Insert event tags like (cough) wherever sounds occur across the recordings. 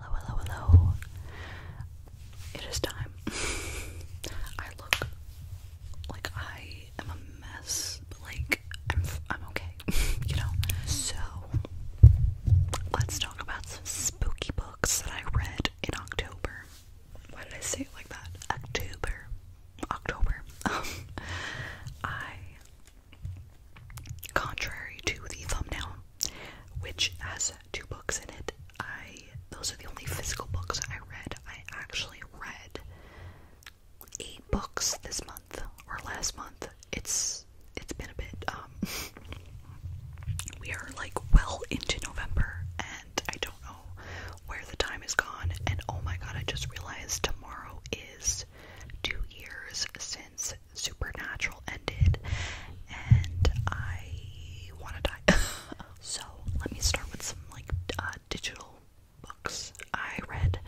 Hello, hello, hello. It is time. (laughs) I look like I am a mess, but like I'm I'm okay, (laughs) you know. So, let's talk about some spooky books that I read in October. Why did I say it like that? October. October. (laughs) I contrary to the thumbnail which has two books in it. I those are the only physical books I read. I actually read eight books this month or last month. It's it's been a bit um (laughs) we are like well into November and I don't know where the time is gone and oh my god I just realized tomorrow is two years since Supernatural ended, and I want to die. (laughs) so let me start with some like uh, digital books I read.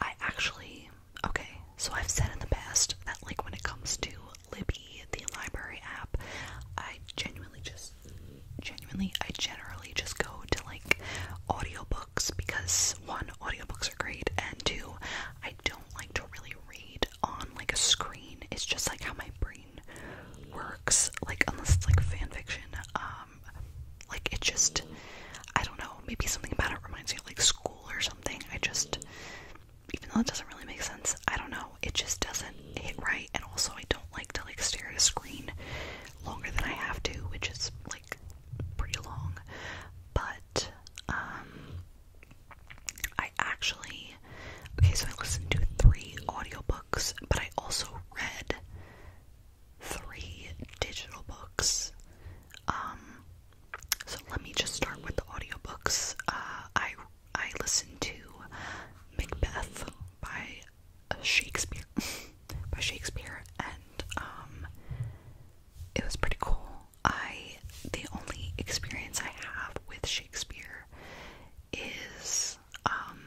I actually okay. So I've said in the past that like when it comes to Libby, the library app, I genuinely just genuinely I generally just go to like audiobooks because one audiobooks are great and two I don't like to really read on like a screen. It's just like how my brain works. Like unless it's like fan fiction, um, like it just I don't know. Maybe something about it reminds me of like school or something. I just even though it doesn't really make sense, I don't know. It just doesn't hit right. And also, I don't like to like stare at a screen longer than I have to, which is like pretty long. But um, I actually okay, so I listened to three audiobooks, but I also read three digital books. Um so let me just start with the audiobooks. Uh I I listened to Macbeth by uh, Shakespeare (laughs) by Shakespeare and um it was pretty cool. I the only experience I have with Shakespeare is um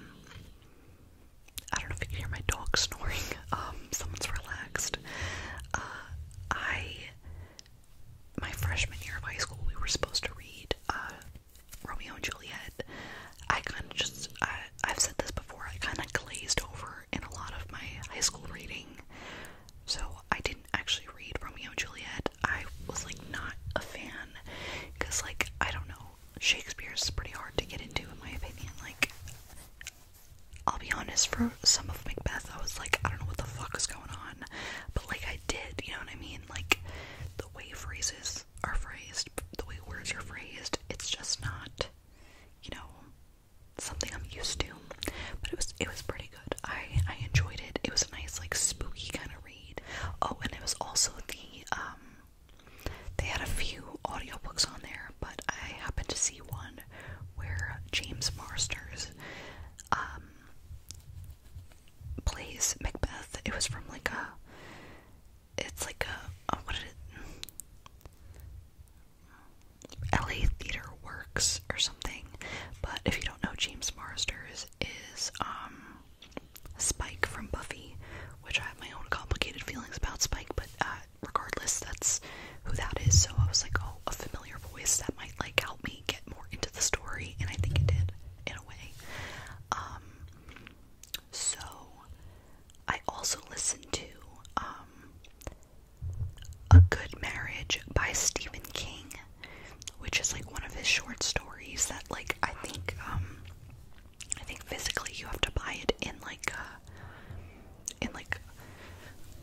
I don't know if you can hear my dog (laughs) snoring. Um, someone's relaxed. Uh, I my freshman year of high school, we were supposed to read uh, Romeo and Juliet. I kind of just I, I've said this before. I kind of glazed over in a lot of my high school reading. So I didn't actually read Romeo and Juliet. I was like not a fan because like I don't know, Shakespeare's pretty hard to get into in my opinion. Like I'll be honest, for some of Macbeth I was like, I don't know what the fuck is going on. But like I did, you know what I mean? Like the way phrases are phrased, the way words are phrased, it's just not, you know, something I'm used to. But it was it was pretty good. I I enjoyed it. It was a nice like spooky kind of read. Oh, and it was also the um they had a few audiobooks on there, but I happened to see one where James Marsters um plays Macbeth. It was from like a it's like a, what did it LA theater word or something. But if you don't know, James Marsters is um, Spike from Buffy, which I have my own complicated feelings about Spike, but uh, regardless, that's who that is. So I was like, oh, a familiar voice that might like help me get more into the story, and I think it did in a way. Um, so I also listened to um, A Good Marriage by Stephen King which is like one of his short stories that like I think um I think physically you have to buy it in like a, uh, in like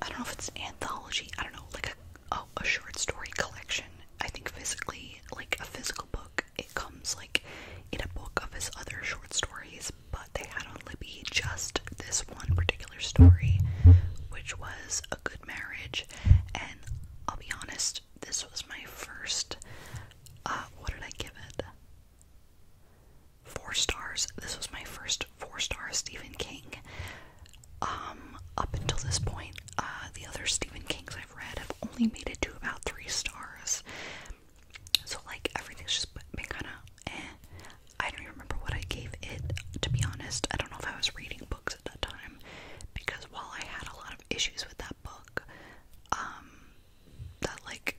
I don't know if it's anthology, I don't know, like a oh, a short story collection. I think physically like a physical book it comes like in a book of his other short stories, but they had only be just this one particular story, which was a good marriage and I'll be honest, this was my first. Uh, what did I give it? Four stars. This was my first four-star Stephen King. Um, up until this point, uh, the other Stephen Kings I've read have only made it to about three stars. So like everything's just been kind of. Eh. I don't even remember what I gave it. To be honest, I don't know if I was reading books at that time because while I had a lot of issues with that book, um, that like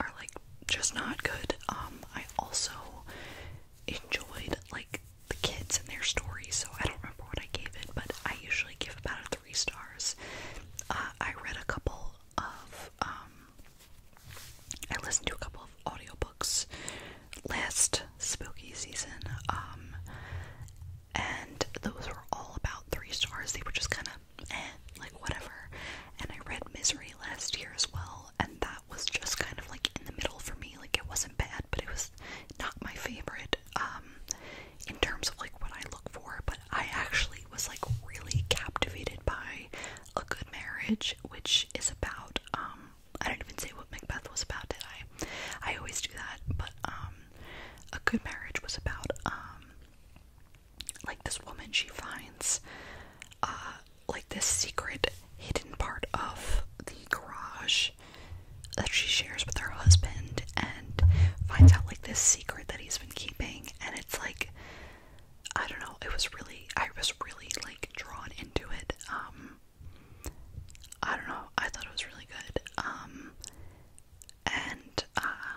are like just not good, um, I also enjoyed like the kids and their stories, so I don't remember what I gave it, but I usually give about three stars. Uh, I read a couple of, um, I listened to a couple of audiobooks last spooky season. Um, and those were all about three stars. They were just kind of eh, like whatever. And I read Misery last year as well, and that was just kind of like in the middle for me. Like it wasn't bad, but it was not my favorite. Um, in terms of like what I look for, but I actually was like really captivated by a good marriage, which is about um I didn't even say what Macbeth was about, did I? I always do that, but um, a good marriage was about um, like this woman she finds uh like this secret hidden part of the garage that she shares with her husband and finds out like this secret that he's been keeping and it's like I don't know, it was really I was really like drawn into it. Um I don't know. I thought it was really good. Um, and uh,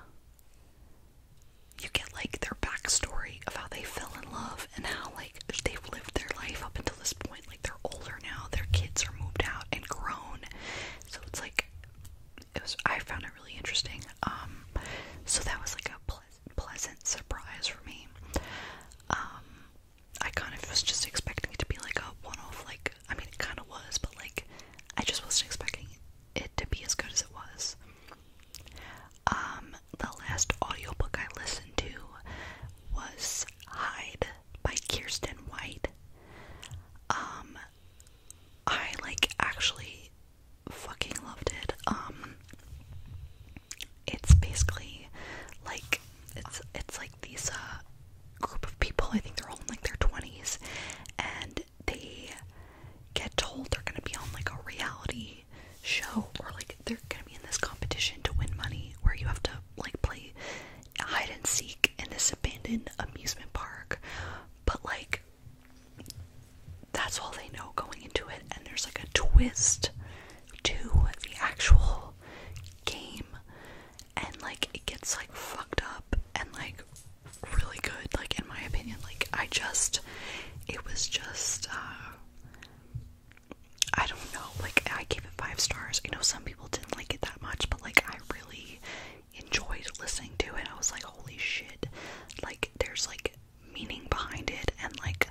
you get like their backstory of how they fell in love and how like they've lived their life up until this point. Like they're older now. Their kids are moved out and grown. So it's like it was. I found it really interesting. Um, so that was like a pleasant surprise for me. Um, I kind of was just expecting it to be like a one off, like, I mean, it kind of was, but like, I just wasn't expecting it to be as good as it was. Um, the last audiobook I listened to was Hide by Kirsten White. Um, I like actually fucking loved it. Um, it's basically like it's it's like these uh group of people, I think they're all in like their twenties, and they get told they're gonna be on like a reality show or like they're gonna be in this competition to win money where you have to like play hide and seek in this abandoned amusement park. But like that's all they know going into it and there's like a twist to the actual game and like it gets like fucked up and like really good like in my opinion like I just it was just uh I don't know like I gave it 5 stars. I know some people didn't like it that much but like I really enjoyed listening to it. I was like holy shit. Like there's like meaning behind it and like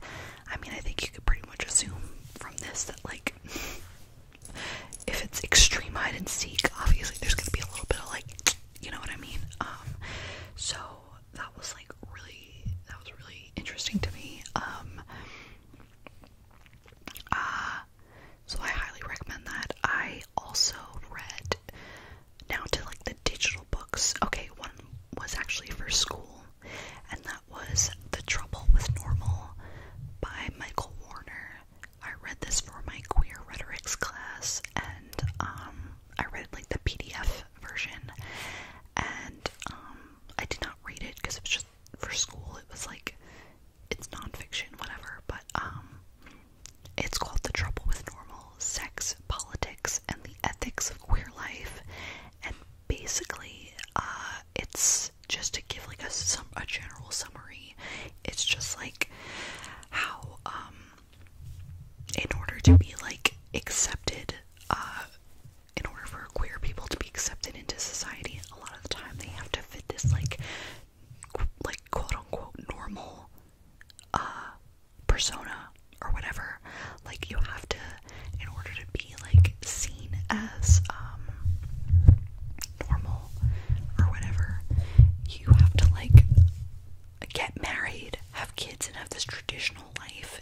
I mean, I think you could pretty much assume from this that, like, if it's extreme hide and seek, obviously there's gonna be a little bit of, like, (tsk) you know what I mean? Um, so that was, like, really, that was really interesting to me. Um, uh, so I highly recommend that. I also read now to like the digital books. Okay, one was actually for school, and that that was The Trouble with Normal by Michael Warner. I read this for my queer rhetorics class and um, I read like the PDF version and um, I did not read it because it was just for school. It was like it's nonfiction, whatever, but um, it's called The Trouble with Normal, Sex, Politics, and the Ethics of Queer Life. And basically, uh, it's just to give like a some a general summary. It's just like how um in order to be like accepted uh in order for queer people to be accepted into society, a lot of the time they have to fit this like like quote unquote normal uh, persona or whatever. Like you have to in order to be like seen as um normal or whatever, you have to like get married, have kids and have this traditional life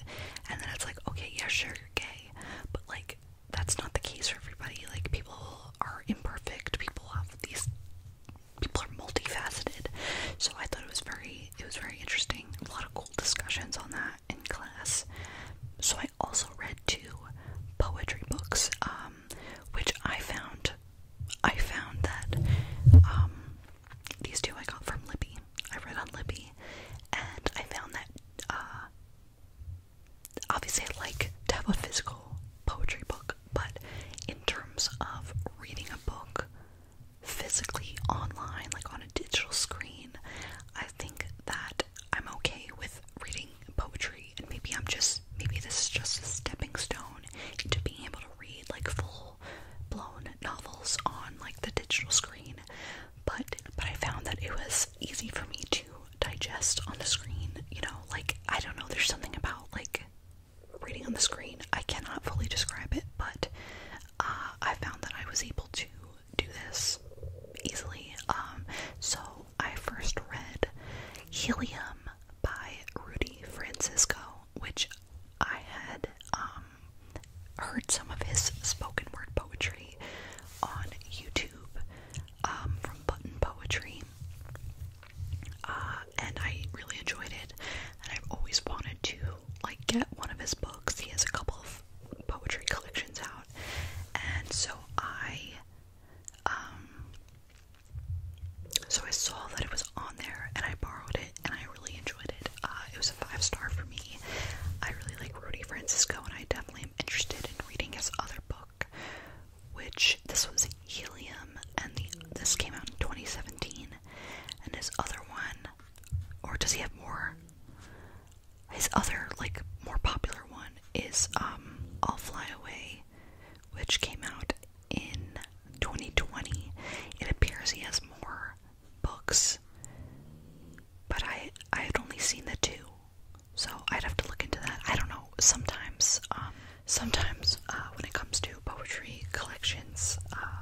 and then it's like, okay, yeah, sure you're gay, but like that's not the case for everybody. Like people are imperfect, people have these people are multifaceted. So I thought it was very it was very interesting. A lot of cool discussions on that in class. So I also read two poetry books, um, which I found I found that um, these two I got from Libby. I read on Libby, and I found that uh, obviously I like to have a physical poetry book, but in terms of reading a book physically online, like on a digital screen, I think that I'm okay with reading poetry, and maybe I'm just maybe this is just a stepping stone to being able to read like full blown novels on like the digital screen. But but I found that it was easy for me to digest on the screen, you know, like I don't know, there's something about like reading on the screen. I cannot fully describe it, but uh, I found that I was able to do this easily. Um, so I first read Helium by Rudy Francisco, which I had um, heard some of his spoken word poetry on YouTube um, from Button Poetry, uh, and I really enjoyed it. And I've always wanted to like get one of his books. He has a couple of poetry collections out, and so I, um, so I saw that it was on there, and I borrowed it, and I really enjoyed it. Uh, it was a five star for me. I really like Rudy Francisco, and I definitely am interested in reading his other book, which this was Helium, and the this came out in 2017, and his other one, or does he have more? His other, like, more popular one is um, I'll Fly Away, which came out in 2020. It appears he has more books, but I I have only seen the two, so I'd have to look into that. I don't know. Sometimes, um, sometimes uh, when it comes to poetry collections, uh,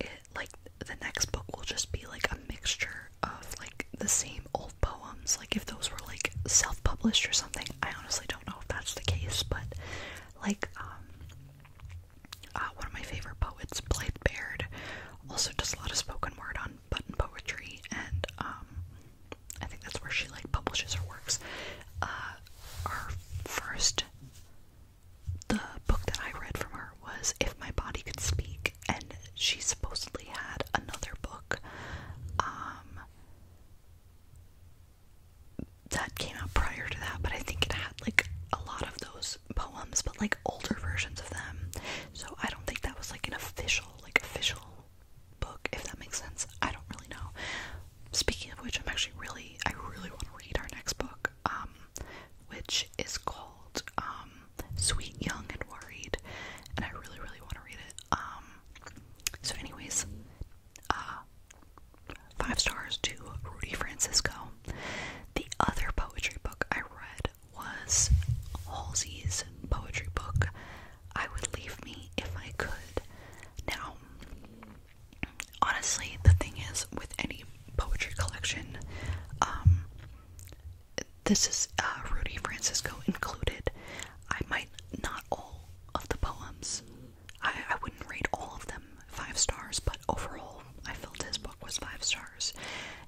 it like the next book will just be like a mixture of like the same old poems. Like if those were like self-published or something, I honestly don't know if that's the case. But like um, uh, one of my favorite poets, Blythe Baird, also does a lot of spoken word on button poetry, and um, I think that's where she like publishes her works. Uh, our first, the book that I read from her was If My Body Could Speak, and she supposedly had another book um, that came out prior to that, but I think it had like a lot of those poems, but like older versions of them. So I don't think that was like an official, like official book, if that makes sense. I don't really know. Speaking of which, I'm actually really, I really want to read our next book, um, which is called, um, Sweet, Young, and Worried, and I really, really want to read it. Um, so, anyways, uh, five stars to Rudy Francisco. The other poetry book I read was Halsey's poetry book, I Would Leave Me If I Could. Now, honestly, the thing is with any poetry collection, um, this is uh, Rudy Francisco included. I might not all of the poems. I, I wouldn't rate all of them five stars, but overall, I felt his book was five stars.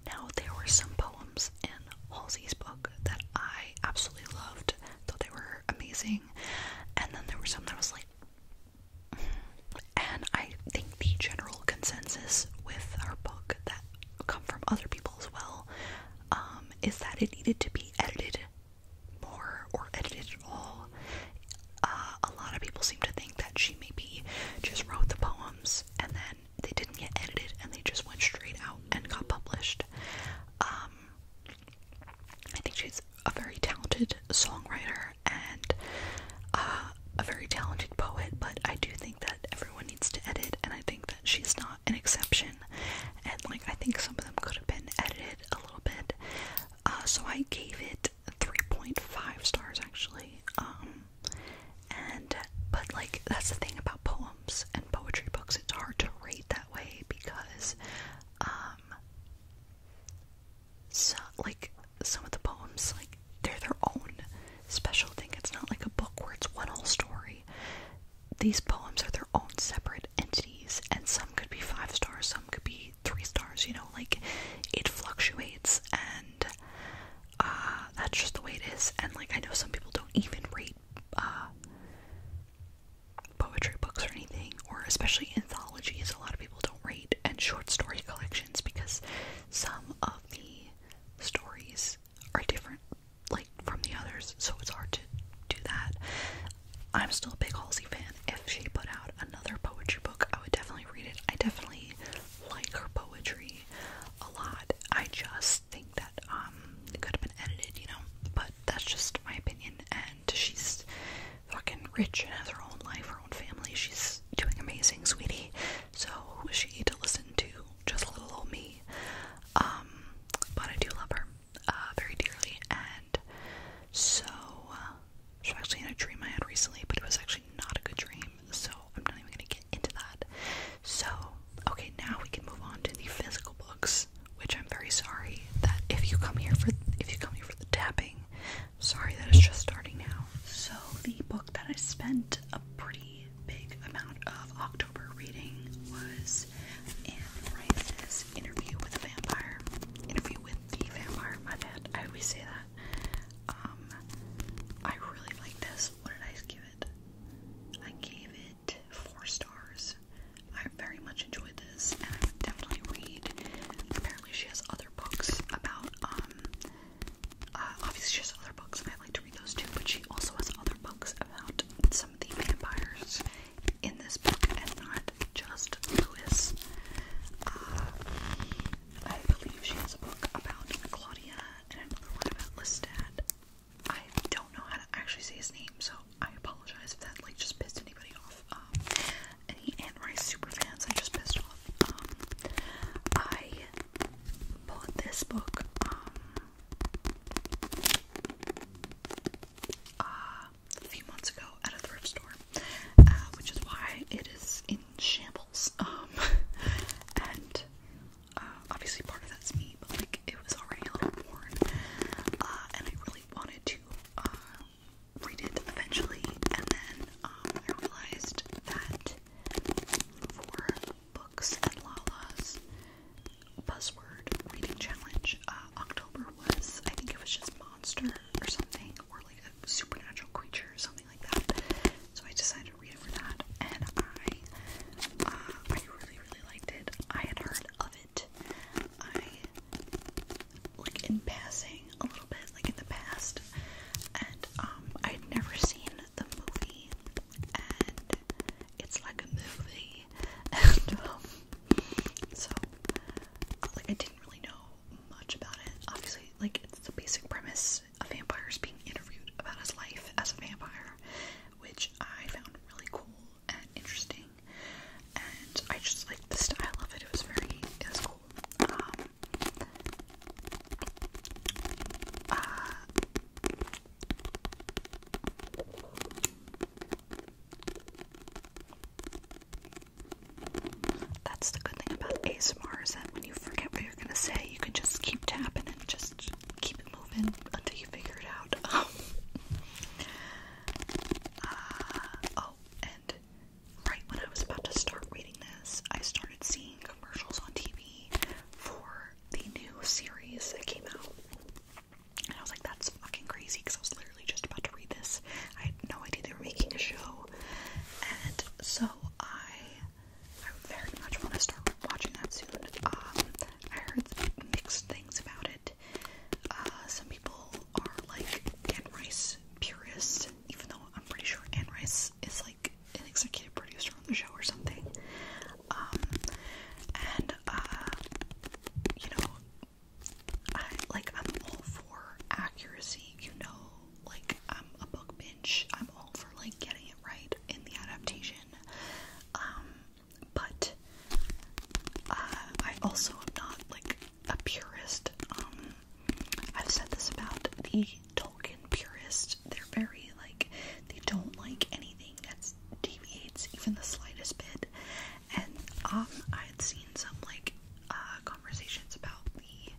Now, there were some poems in Halsey's book that I absolutely loved, thought they were amazing, and then there were some that was like, mm. and I think the general consensus with our book that come from other people as well, um, is that it needed to be edited more or edited at all. Uh, a lot of people seem to think that she maybe just wrote the poems and then they didn't get edited and they just went straight out and got published. Um, I think she's a very talented songwriter and uh, a very talented poet, but I do think that everyone needs to edit, and I think that she's not an exception. And like, I think some of them could have been edited a little bit. Uh, so I gave it 3.5 stars actually. Um, and but like, that's the thing about poems and poetry books, it's hard to rate that way because, um, so like some of the poems like they're their own special thing. It's not like a book where it's one whole story. These poems are their own separate entities, and some could be five stars, some could be three stars, you know, like it fluctuates and uh, that's just the way it is. And like I know some people don't even read uh, poetry books or anything, or especially anthologies, a lot of people don't read and short story collections because some of the stories are different like from the others, so it's hard to do that. I'm still a big Halsey fan. If she put out another poetry book, I would definitely read it. I definitely like her poetry a lot. I just think that um it could have been edited, you know. But that's just my opinion and she's fucking rich and has her own life, her own family. She's doing amazing, sweetie so she to listen to just a little old me. Um, but I do love her uh, very dearly, and so uh, she was actually in a dream I had recently, but it was actually not a good dream, so I'm not even gonna get into that. So, okay, now we can move on to the physical books, which I'm very sorry that if you come here for if you come here for the tapping, sorry that it's just starting now. So the book that I spent a pretty big amount of October reading was Anne Rice's Interview with a Vampire. Interview with the Vampire, my bad. I always say that. Um, I really like this. What did I give it? I gave it four stars. I very much enjoyed this, and I would definitely read. Apparently, she has other books about um uh, obviously, she has other books, and I like to read those too. But she also has other books about some of the vampires in this book, and not just Lewis. Uh, I believe she has a book about Claudia and another one about Lestat. I don't know how to actually say his name, so I apologize if that like just pissed anybody off. Um, any Anne Rice super fans I just pissed off. Um, I bought this book um, uh, a few months ago at a thrift store, uh, which is why it is in shambles. Um, (laughs) and uh, obviously part of that's me, but like it was already a little worn, and I really wanted to read it eventually. And then um, I realized that books and Lala's buzzword reading challenge. Uh, October was, I think it was just monster or something, or like a supernatural creature or something like that. So I decided to read it for that, and I, uh, I really really liked it. I had heard of it. I like in passing a little bit, like in the past, and um, I would never seen the movie, and it's like a movie, (laughs) and um, so like I didn't really know much about it. Obviously, like it's the basic premise: a vampire is being interviewed about his life as a vampire, which I found really cool and interesting, and I just like the style of it. It was very, it was cool. Um, uh, that's the good thing about ASMR is when you forget what you're gonna say, you can just keep tapping and just keep moving until you figure it out. (laughs) Uh, oh, and right when I was about to start reading this, I started seeing commercials on TV for the new series that came out. And I was like, that's fucking crazy because I was literally just about to read this. I had no idea they were making a show. And so I I very much want to start watching that soon. Um, I heard mixed things about it. Uh, some people are like Anne Rice purists, even though I'm pretty sure Anne Rice Chris like an executive producer on the show or something. Um, and uh, you know, I like I'm all for accuracy. You know, like I'm a book binge. I'm all for like getting it right in the adaptation. Um, but uh, I also am not like a purist. Um, I've said this about the Tolkien purist. They're very like they don't like anything that deviates even the slightest bit. And um, I had seen some like uh, conversations about the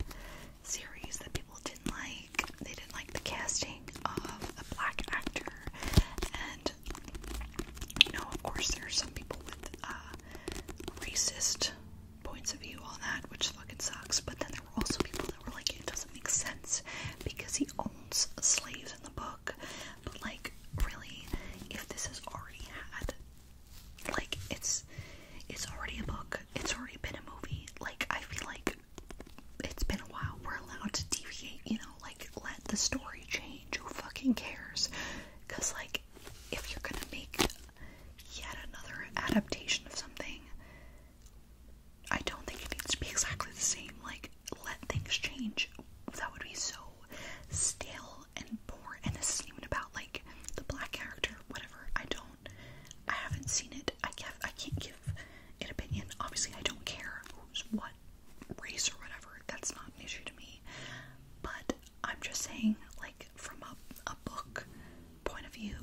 series that people didn't like. They didn't like the casting of a black actor, and you know, of course, there are some people with uh, racist points of view on that, which fucking sucks. But then also people that were like, it doesn't make sense because he owns slaves in the book. But like, really, if this is already had, like, it's it's already a book. It's already been a movie. Like, I feel like it's been a while. We're allowed to deviate, you know. Like, let the story change. Who fucking cares? Cause like, if you're gonna make yet another adaptation of something. I don't think it needs to be exactly the same. Like, let things change. That would be so stale and boring. And this is even about like the black character, whatever. I don't. I haven't seen it. I can't. I can't give an opinion. Obviously, I don't care who's what race or whatever. That's not an issue to me. But I'm just saying, like from a a book point of view,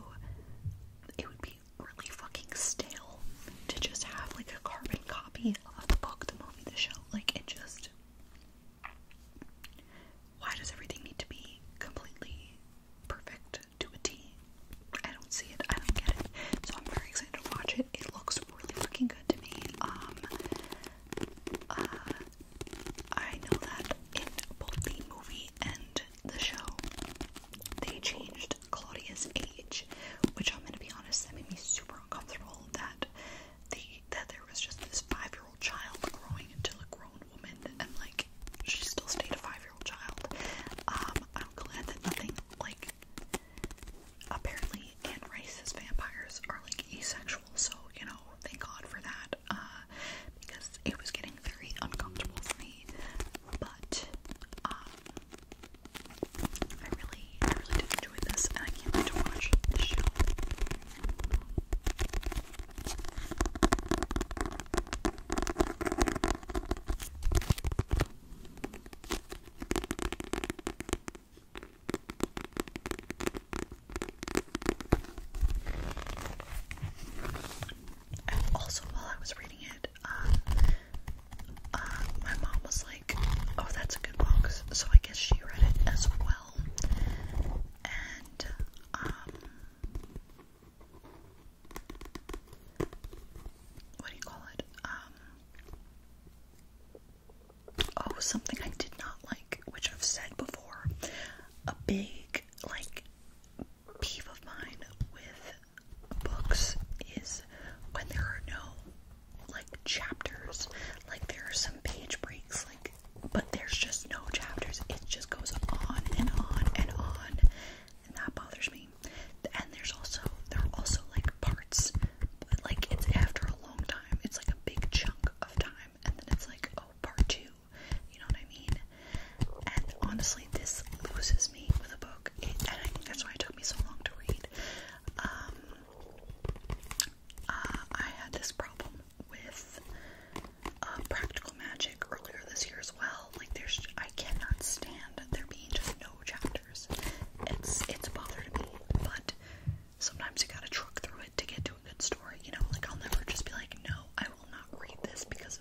it would be really fucking stale to just have like a carbon copy of the book, the movie, the show. Like it just why does everything need to be completely perfect to a T? I don't see it. I don't get it. So I'm very excited to watch it. It looks really fucking good to me. Um uh, I know that in both the movie and the show they changed Claudia's age, which I'm gonna be honest, that made me super uncomfortable that the that there was just this five-year-old child growing into a grown woman and like she still stayed a five-year-old child. Um, I'm glad that nothing like apparently and racist vampires are like asexual, so you know, thank God for that. Uh, because it was getting very uncomfortable for me. But um, I really, I really did enjoy this, and I can't wait to watch this show. And also, while I was reading it, um, uh, my mom was like, "Oh, that's a good box," so I guess she read it as well. And um, what do you call it? Um, oh, something I did not like, which I've said before. A big like peeve of mine with books is when there are no like chapters. Like there are some page breaks, like but there's just no chapters. It just goes on and on and on. And that bothers me. And there's also there are also like parts but like it's after a long time. It's like a big chunk of time and then it's like oh part two. You know what I mean? And honestly this loses me with a book, and I think that's why it took me so long to read. Um, uh, I had this problem with uh, Practical Magic earlier this year as well. Like, there's I cannot stand there being just no chapters. It's it's bothered me, but sometimes you gotta truck through it to get to a good story. You know, like I'll never just be like, no, I will not read this because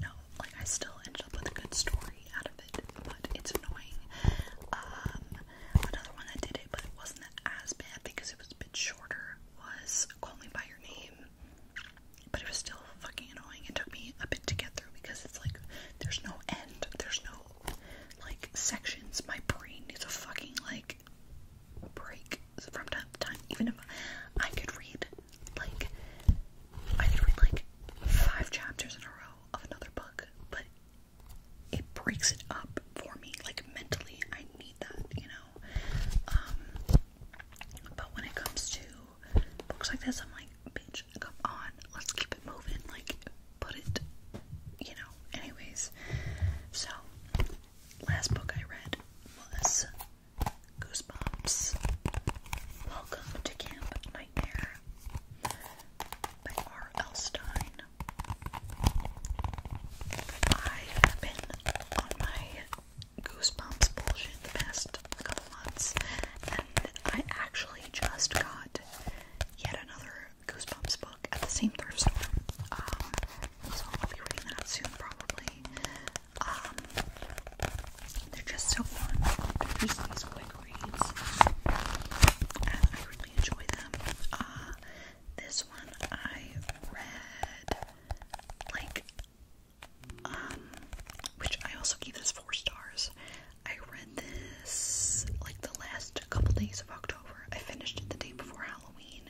no, like I still ended up with a good story out of it, but it's annoying. Um, another one that did it, but wasn't as bad because it was a bit shorter, was Call By Your Name. But it was still fucking annoying. It took me a bit to get through because it's like there's no end, there's no like sections. My brain needs a fucking like break from time to time. Even if I could read like, I read like five chapters in a row of another book, but it breaks it up for me. Like, mentally, I need that, you know? Um, but when it comes to books like this, I'm like, bitch, come on, let's keep it moving. Like, put it, you know, anyways. So, last book I read was Goosebumps. Welcome to Camp Nightmare by R.L. Stein. I have been on my Goosebumps bullshit the past couple months, and I actually just got yet another Goosebumps book at the same thrift store. Um, so I'll be reading that soon, probably. Um, they're just so fun. They're just these quick reads, and I really enjoy them. Uh, this one I read, like, um, which I also gave this four stars. I read this like the last couple days of October. I finished it the day before Halloween.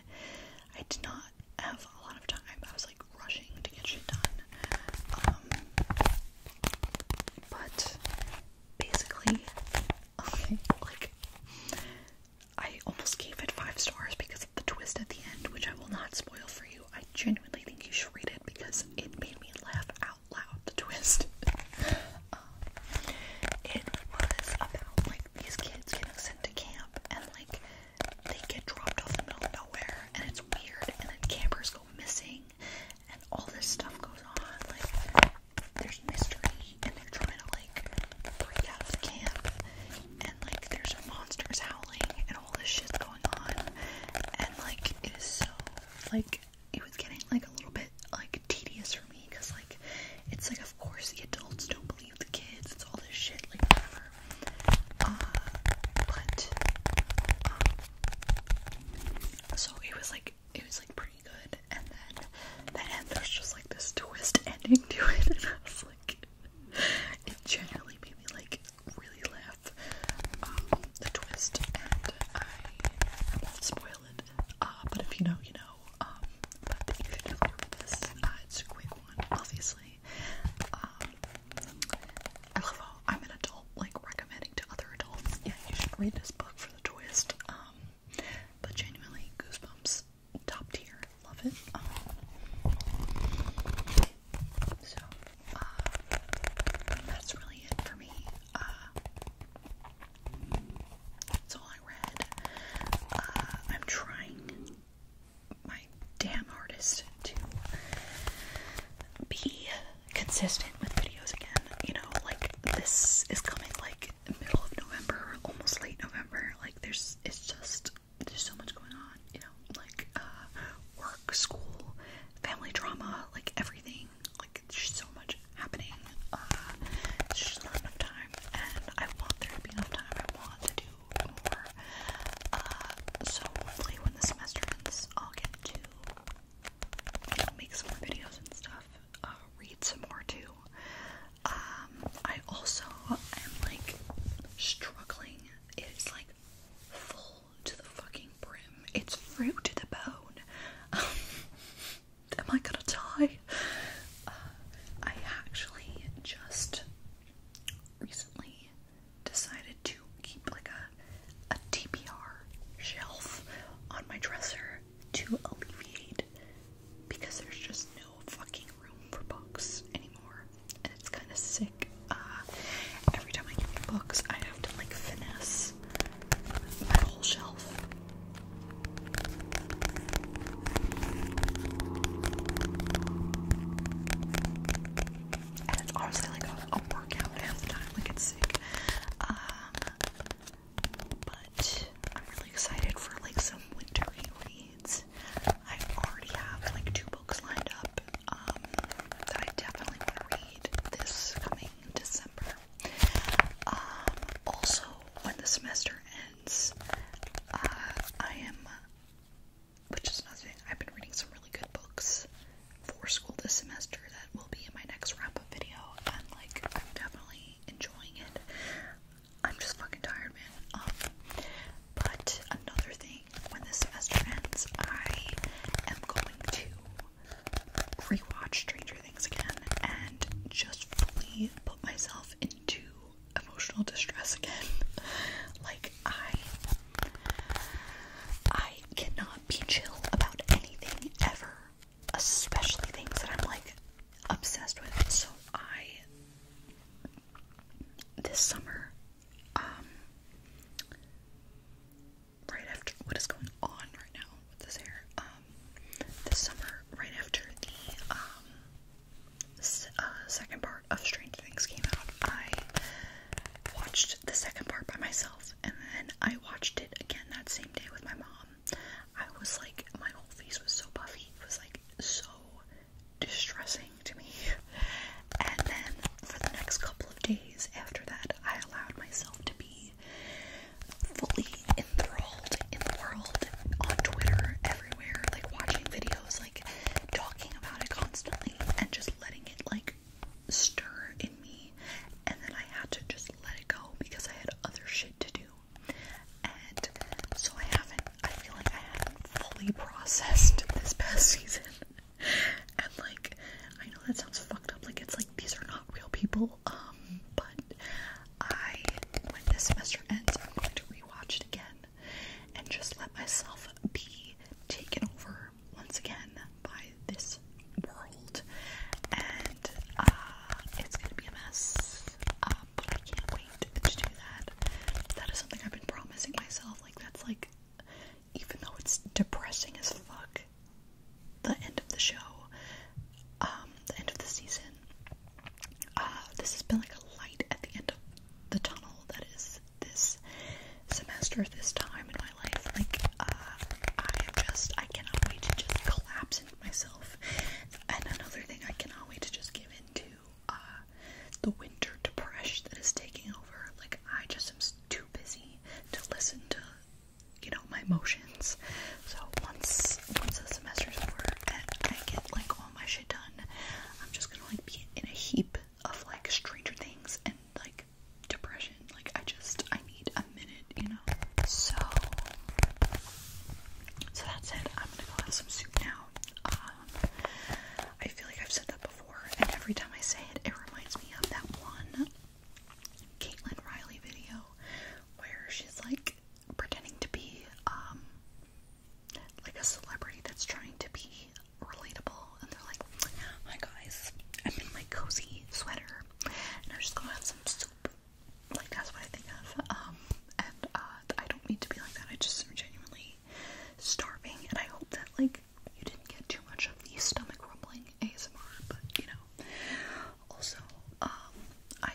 I did not have a lot of time. I was like rushing to get shit done. Um, but basically, like I almost gave it five stars because of the twist at the end, which I will not spoil for you. I genuinely think you should read it because it made me laugh out loud. The twist. (laughs) Um, it was about like these kids getting sent to camp and like they get dropped off in the middle of nowhere and it's weird and then campers go missing and all this stuff goes on. Like there's mystery and they're trying to like break out of the camp and like there's monsters howling and all this shit going on and like it is so like it was getting like a little bit like tedious for me because like it's like of course the adults don't believe the kids it's all this shit like whatever uh but um, so it was like it was like pretty good, and then the end there's just like this twist ending to it, (laughs) and like, it genuinely made me like really laugh. Um, the twist, and I, will spoil it. Uh, but if you know, you know. Um, but you should definitely this. Uh, it's a quick one, obviously. Um, I love how I'm an adult, like recommending to other adults. Yeah, you should read this book for the twist. Um, but genuinely, Goosebumps, top tier, love it. Um, so, uh, that's really it for me. Uh, that's all I read. Uh, I'm trying my damn hardest to be consistent with videos again. You know, like this is coming like middle of November, almost late November. Like there's, it's just there's so much going on. You know, like uh, work, school, family drama, like everything. Like there's so much happening. Uh, it's just not enough time, and I want there to be enough time. I want to do more. Uh, so hopefully, when the semester ends, I'll get to make some more videos and stuff, uh, read some more too. Um, I also am like struggling. It is like full to the fucking brim. It's fruit to the bone. (laughs) am I gonna die? Uh, I actually just recently decided to keep like a a TBR shelf on my dresser to alleviate because there's just no fucking room for books anymore and it's kind of sick. Uh, every time I get new books, I have to like finesse my whole shelf and honestly like a, workout half the time, like it's sick. Um, but I'm really excited for like some wintery reads. I already have like two books lined up um, that I definitely want to read this coming December. Um, also, when the semester ends, uh, I am, which is nothing. I've been reading some really good books for school this semester that will be in my next wrap up video. And like, I'm definitely enjoying it. I'm just fucking tired, man. Um, but another thing, when this semester ends, I am going to rewatch Stranger Things again and just fully put myself into emotional distress again. (laughs) like, I I cannot be chill about anything ever, especially things that I'm like obsessed with. So I this summer, um right after what is going on right now with this hair, um this summer, right after the um uh, second part of Strange Things came out, I watched the second part by myself and then I watched it again that same day with my mom. I was like, my whole face was so puffy. It was like so distressing to me. And then for the next couple of days after that, I allowed myself to be fully enthralled in the world on Twitter, everywhere, like watching videos, like talking about it constantly and just letting it like stir in me, and then I had to just let it go because I had other shit to do. And so I haven't, I feel like I haven't fully processed this past (laughs) season. and like, I know that sounds fucked up, like, it's like these are not real people, um, but I, when this semester ends, I'm going to rewatch it again and just let myself be taken over once again by this world, and uh, it's gonna be a mess. Uh, but I can't wait to do that. That is something I've been promising myself. Like that's like, even though it's depressing as fuck, the end of the show, um, the end of the season. Uh, this has been like a light at the end of the tunnel that is this semester, this time in my life. Like, uh, I am just, I cannot wait to just collapse into myself. And another thing, I cannot wait to just give into uh, the winter depression that is taking over. Like, I just am too busy to listen to, you know, my emotions. So once once the semester's over and I get like all my shit done, I'm just gonna like be in a heap of like Stranger Things and like depression. Like I just I need a minute, you know. So so that's it. I'm gonna go have some soup now. Um, I feel like I've said that before, and every time I say it, it reminds me of that one Caitlin Riley video where she's like pretending to be um like a celebrity that's trying to be relatable and they're like, hi guys, I'm in my cozy sweater and I'm just gonna have some soup. Like that's what I think of. Um and uh I don't mean to be like that. I just am genuinely starving and I hope that like you didn't get too much of the stomach rumbling ASMR, but you know. Also, um I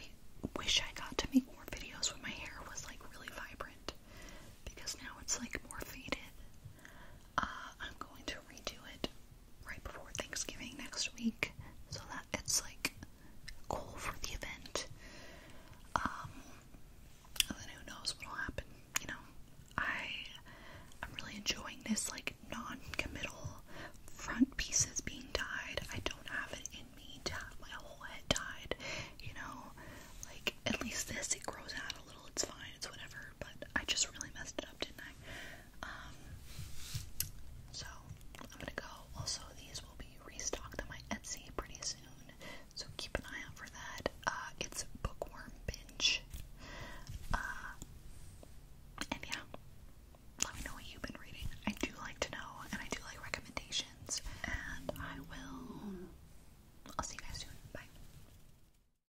wish I got to make more videos when my hair was like really vibrant because now it's like more faded uh, I'm going to redo it right before Thanksgiving next week so that it's like cool for the event. Um, then who knows what'll happen, you know? I, I'm really enjoying this like non-committal front pieces being dyed. I don't have it in me to have my whole head dyed, you know? Like, at least this, it grows out a it's fine, it's whatever, but I just really messed it up, didn't I? Um, so I'm gonna go. Also, these will be restocked on my Etsy pretty soon, so keep an eye out for that. Uh, it's Bookworm Binge. Uh, and yeah, let me know what you've been reading. I do like to know, and I do like recommendations, and I will. I'll see you guys soon. Bye.